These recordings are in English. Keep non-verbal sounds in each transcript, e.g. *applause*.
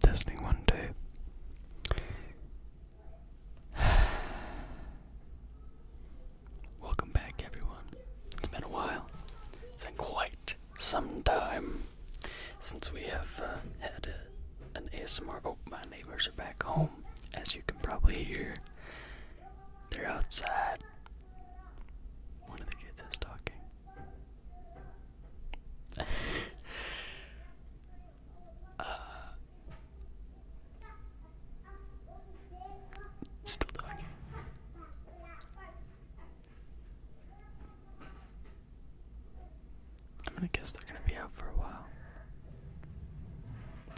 Testing one, two. Welcome back, everyone. It's been a while. It's been quite some time since we have uh, had an ASMR. Oh, my neighbors are back home, as you can probably hear. They're outside. One of the kids is talking still talking. I'm gonna guess they're gonna be out for a while.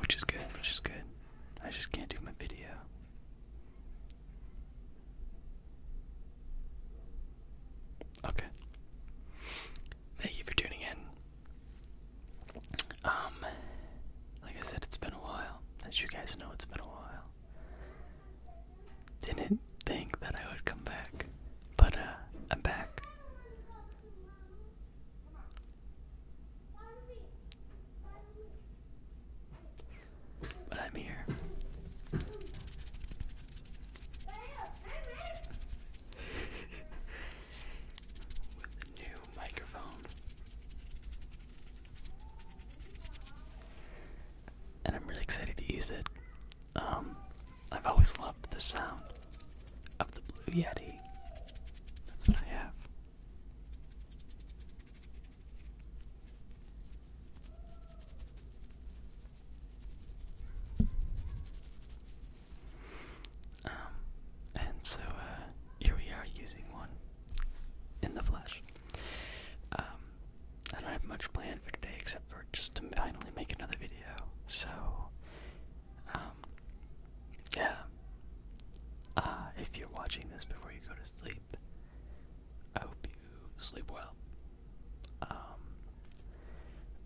Which is good, which is good. I just can't do my video. Okay. Thank you for tuning in. Um, like I said, it's been a while. As you guys know, it's been a while. Didn't think that I would come back, but uh, I'm back. But I'm here. *laughs* With the new microphone. And I'm really excited to use it. Um, I've always loved the sound of the Blue Yeti. That's what I have. Um, and so uh, here we are using one in the flesh. Um, I don't have much planned for today except for just to finally make another video. So, um, yeah. Uh, if you're watching this before you go to sleep, I hope you sleep well. Um,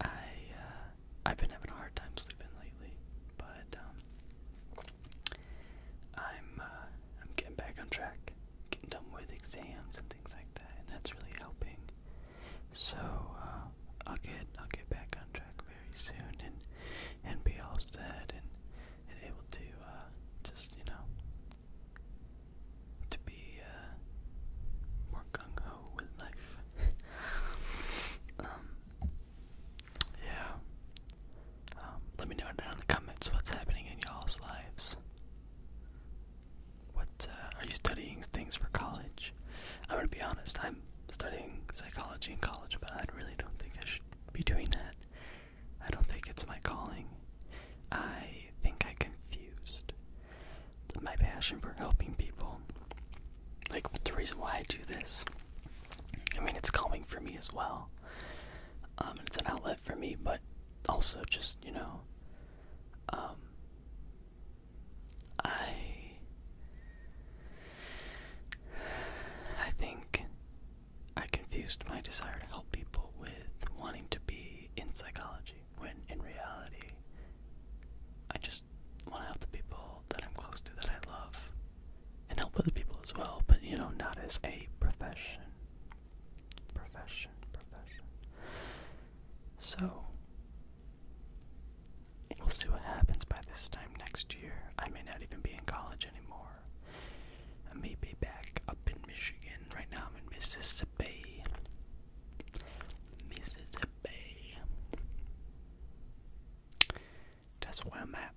I uh, I've been having a hard time sleeping lately, but um, I'm uh, I'm getting back on track, getting done with exams and things like that, and that's really helping. So uh, I'll get I'll get back on track very soon and and be all set and able to just you know to be uh, more gung ho with life. *laughs* um, yeah. Um, let me know down in the comments what's happening in y'all's lives. What uh, are you studying things for college? I'm gonna be honest. I'm studying psychology in college, but I really don't think I should be doing that. I don't think it's my calling. I think I confused my passion for helping people. Like, the reason why I do this, I mean, it's calming for me as well. Um, it's an outlet for me, but also just, you know, um, I. I think I confused my desire to help people with wanting to be in psychology when in reality I just want to help the people that I'm close to that I love and help other people as well, but you know, not as a profession. Profession, profession. So, we'll see what happens by this time next year. I may not even be in college anymore. I may be back up in Michigan. Right now I'm in Mississippi. Mississippi. That's where I'm at.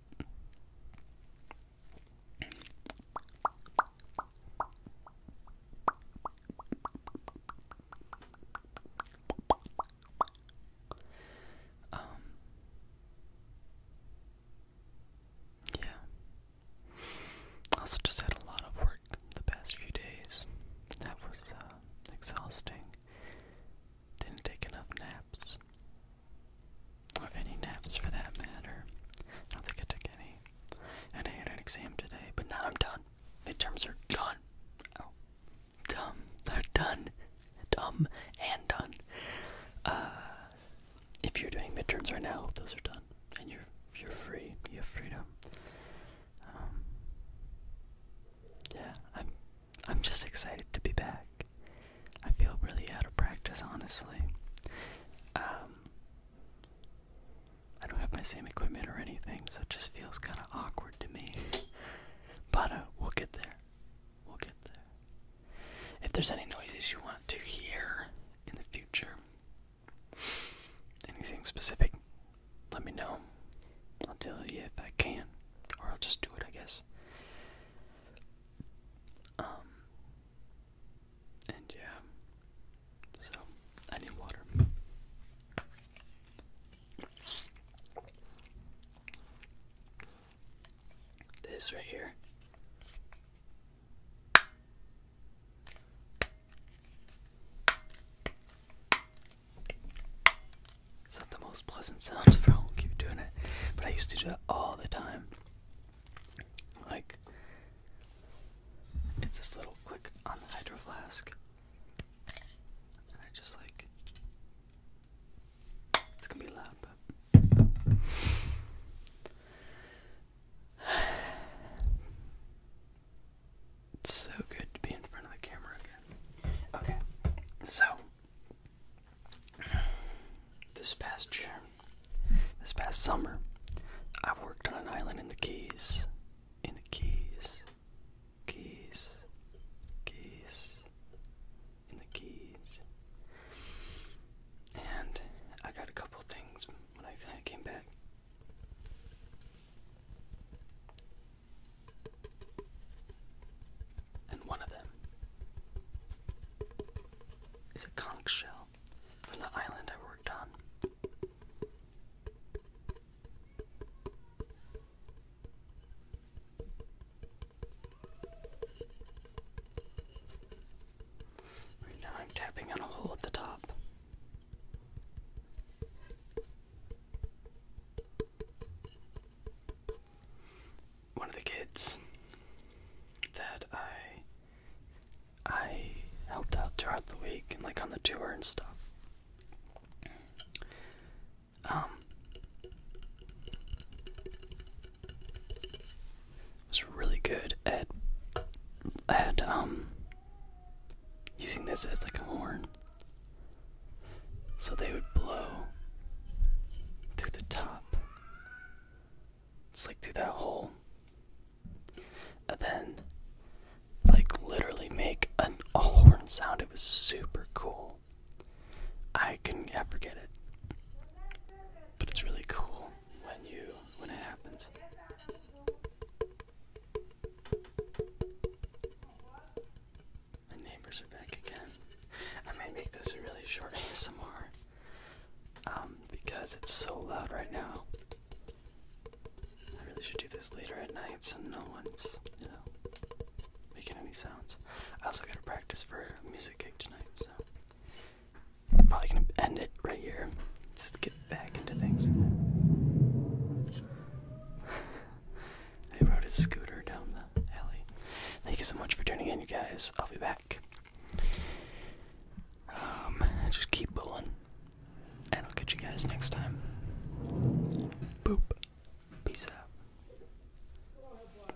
Um, yeah, also, just had a lot of work the past few days. That was uh, exhausting. Didn't take enough naps. Or any naps for that matter. I don't think I took any. And I had an exam today, but now I'm done. Midterms are done. Oh. Dumb. They're done. Dumb and done. Uh, if you're doing midterms right now, those are done, and you're you're free. You have freedom. Um, yeah, I'm I'm just excited to be back. I feel really out of practice, honestly. Um, I don't have my same equipment or anything, so it just feels kind of awkward to me. but uh, we'll get there. We'll get there. If there's any noises you want to hear in the future, Anything specific? Let me know. I'll tell you if I can, or I'll just do it, I guess. Um, and yeah, so I need water. This right here it's not the most pleasant sound for I'll keep doing it, but I used to do that all the time. Like, it's this little click on the hydro flask, and I just like it's gonna be loud, but it's so good to be in front of the camera again. Okay, so this past year, this past summer, I worked on an island in the Keys. In the Keys. Keys. Keys. In the Keys. And I got a couple things when I came back. And one of them is a conch shell from the island I worked on. Right now I'm tapping on a hole at the top. One of the kids that I I helped out throughout the week and like on the tour and stuff. Um, it's really good at at um using this as like a horn. So they would blow through the top. Just like through that hole. And then like literally make a horn sound. It was super cool. I can not forget it. But it's really cool when you when it happens. The neighbors are back again. I may make this a really short ASMR *laughs* um, because it's so loud right now. I really should do this later at night so no one's, you know, making any sounds. I also gotta practice for music gig tonight, so I'm probably gonna end it right here. Just to get back into things. *laughs* I rode his scooter down the alley. Thank you so much for tuning in, you guys. I'll be back. Um, just keep going, and I'll catch you guys next time. Boop. Peace out.